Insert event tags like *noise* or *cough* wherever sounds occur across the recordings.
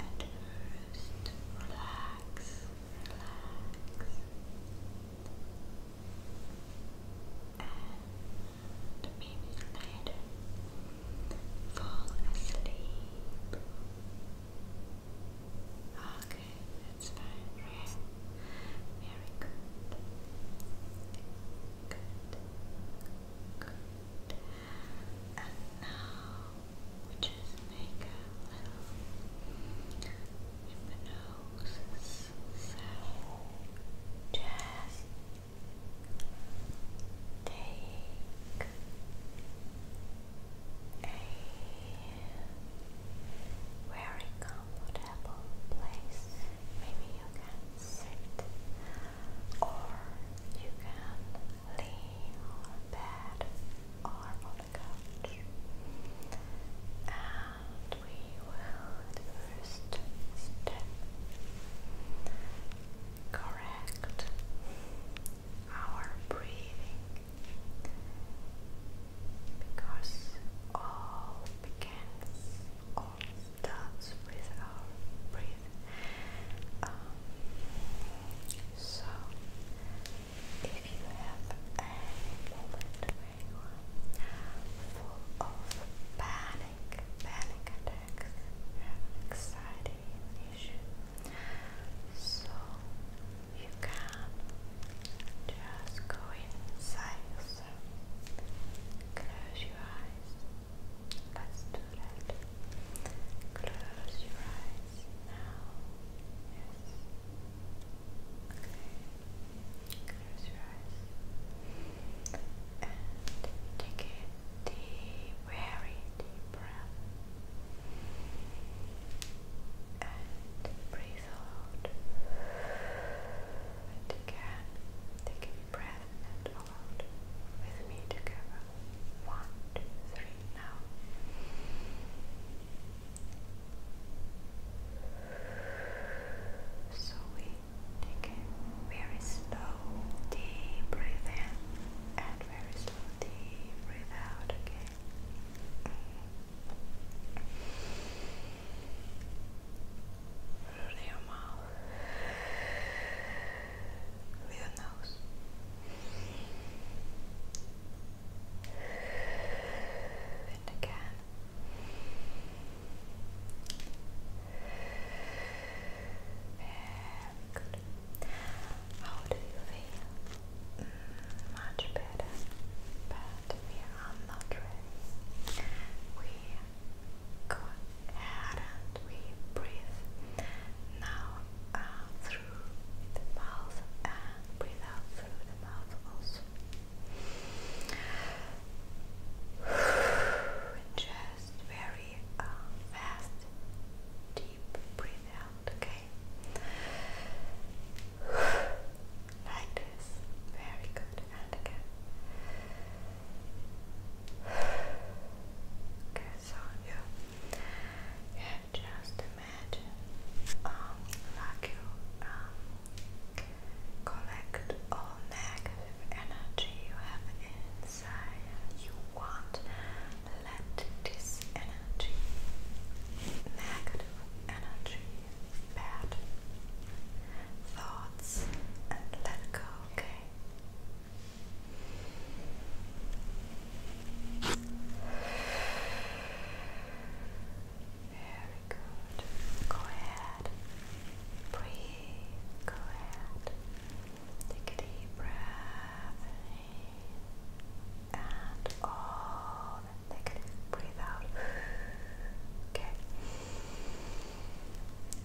At first, relax, relax, and maybe later fall asleep. Okay, that's fine, Very good. Good. Good. And now we just make a little hypnosis sound. Just take a very comfortable place. Maybe you can sit or you can laying on a bed or on the couch. And we will first correct our breathing because all begins, does with our breath. Um, so, if you have any moment where full of panic, panic attacks, anxiety issue, so you can just go inside yourself, close your eyes. Close your eyes now. Yes. Close your eyes. And take a deep, very deep breath. And breathe out. And again, take a deep breath and out with me together. One, two, three, now. So we take a very slow, deep breath in and very slow, deep breath out Okay? through your mouth, with your nose. And again. How do you feel? Mm, much better, but we are not ready. We go ahead and we breathe now uh, through the mouth and breathe out through the mouth also. Just very fast, deep breathe out, okay? *sighs* Like this. Very good and again. *sighs* Okay, so you just imagine um, like you um, collect all negative energy you have inside you want let this energy negative energy bad thoughts and let go, okay? Very good. Go ahead. Breathe. Go ahead. Take a deep breath in and all the negative breathe out. Okay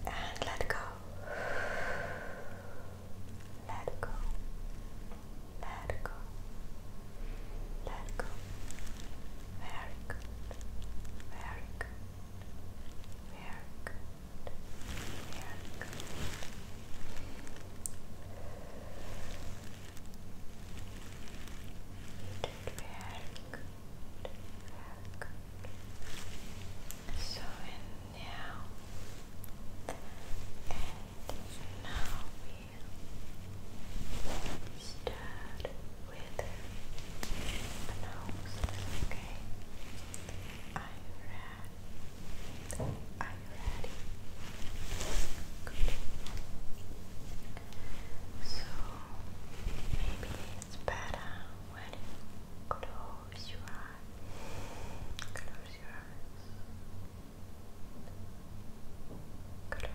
and let go. Let go. Let go. Let go. Very good. Very good. Very good. Very good. You did very good. So and now and now we start with nose. Okay. Are you ready? Are you ready? Good. So maybe it's better when you close your eyes. Close your eyes. Close your eyes. just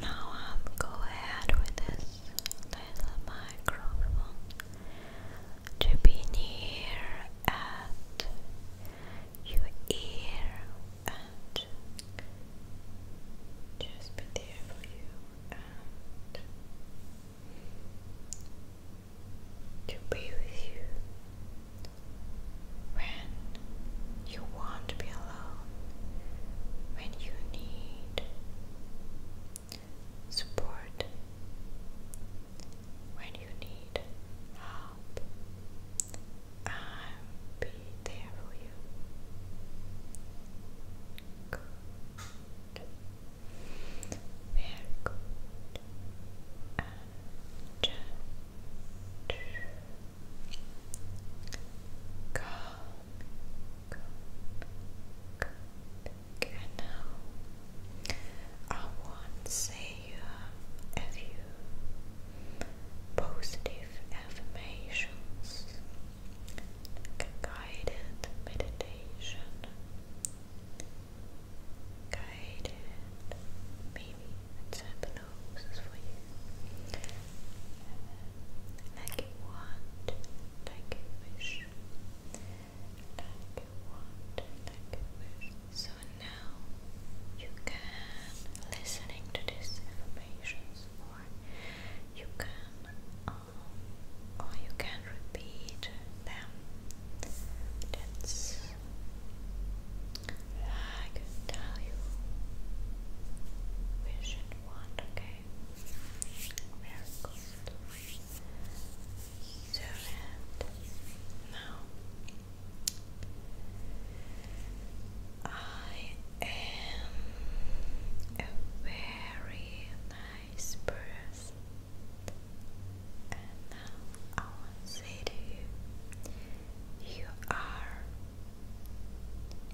Now I'll go ahead with this little microphone to be near at your ear and just be there for you and to be with you when you want to be alone, when you need support, when you need help, I'll be there for you. Good. Very good. And just Calm, now I want to say um, a few positive affirmations, guided meditation guided. Maybe it's hypnosis for you. Like you want, like you wish. Like you want, like you wish. So now you can, listening to this information, or you can, um, or you can repeat them that's I can tell you wish and okay? Very good. So now I am a very nice person. And now I want to say to you, you are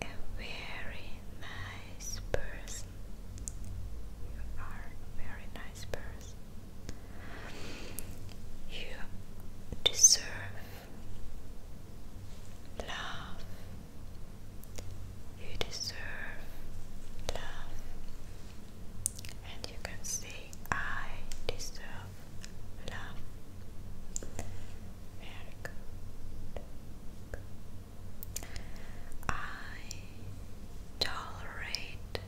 a very nice person. You are a very nice person. You deserve love. You deserve love and you can say, I deserve love. I tolerate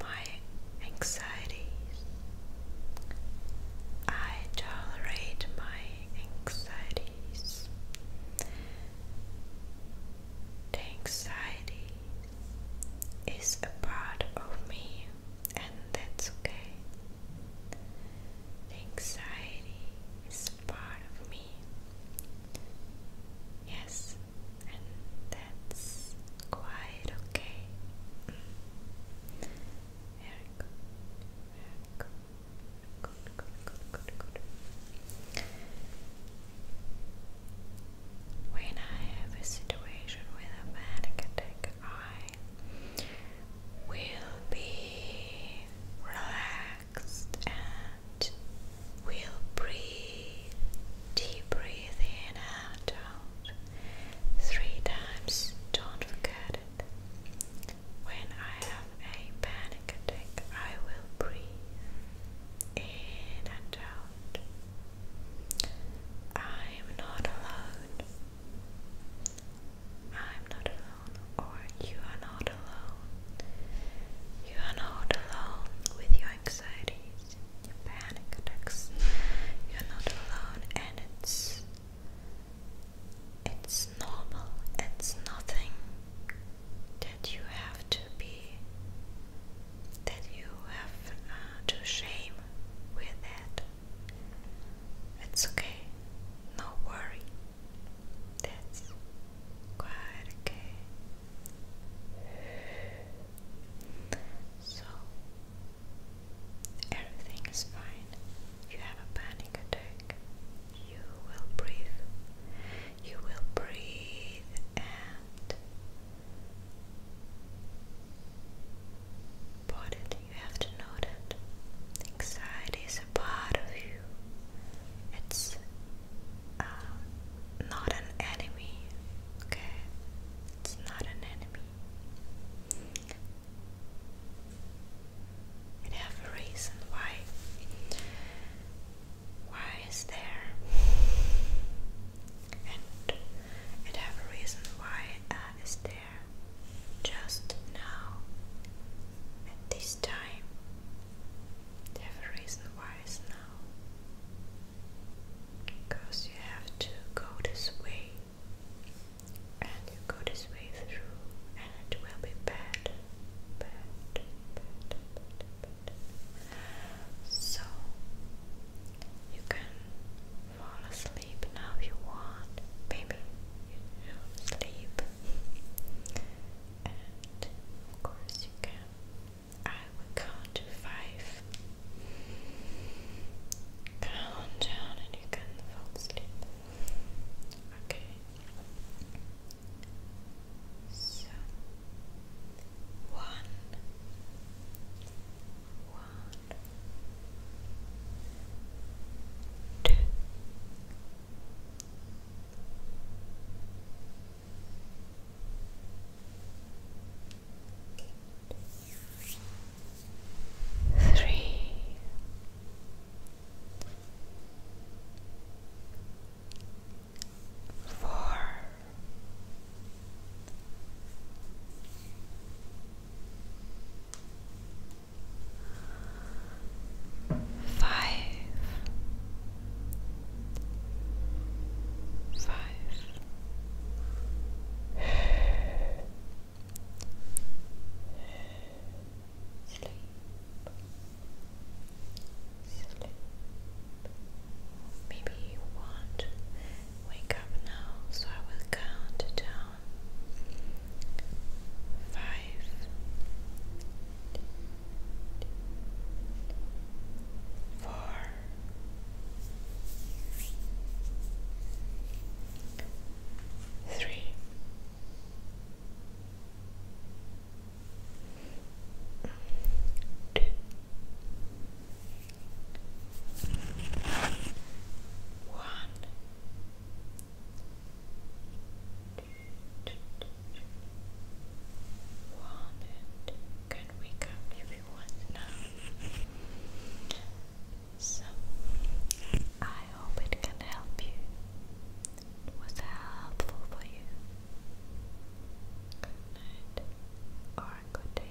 my anxieties. I tolerate my anxieties anxiety is a part of me, and that's okay. anxiety is a part of me. Yes, and that's quite okay. Mm. Very good. Very good. Good, good, good, good, good. When I have a situation with a panic attack, I will be relaxed and will breathe, deep breathe in and out three times. Don't forget it. When I have a panic attack, I will breathe in and out. I am not alone. I'm not alone, or you are not alone. You are not alone with your anxieties, your panic attacks. You're not alone, and it's it's normal. It's nothing that you have to be that you have uh, to shame with that. It's okay, no worry. That's quite okay. So everything is fine. You have a panic attack you will breathe. You will breathe and put You have to know that anxiety is a part of you. It's uh, not an enemy, okay? It's not an enemy and have a reason why why is there and and have a reason why uh, is there just now at this time they have a reason why is now because you have to go this way and you go this way through and it will be bad, bad, bad, bad, bad. So you can fall asleep now if you want, baby. You sleep, and of course you can. I will count to five. Count down, and you can fall asleep. Okay. So one, one, two, three four, five, five sleep, sleep. Maybe you will wake up now, so I will count down five, four, three. Two. can wake up if you want now. So, I hope it can help you. It was helpful for you. Good night or good day.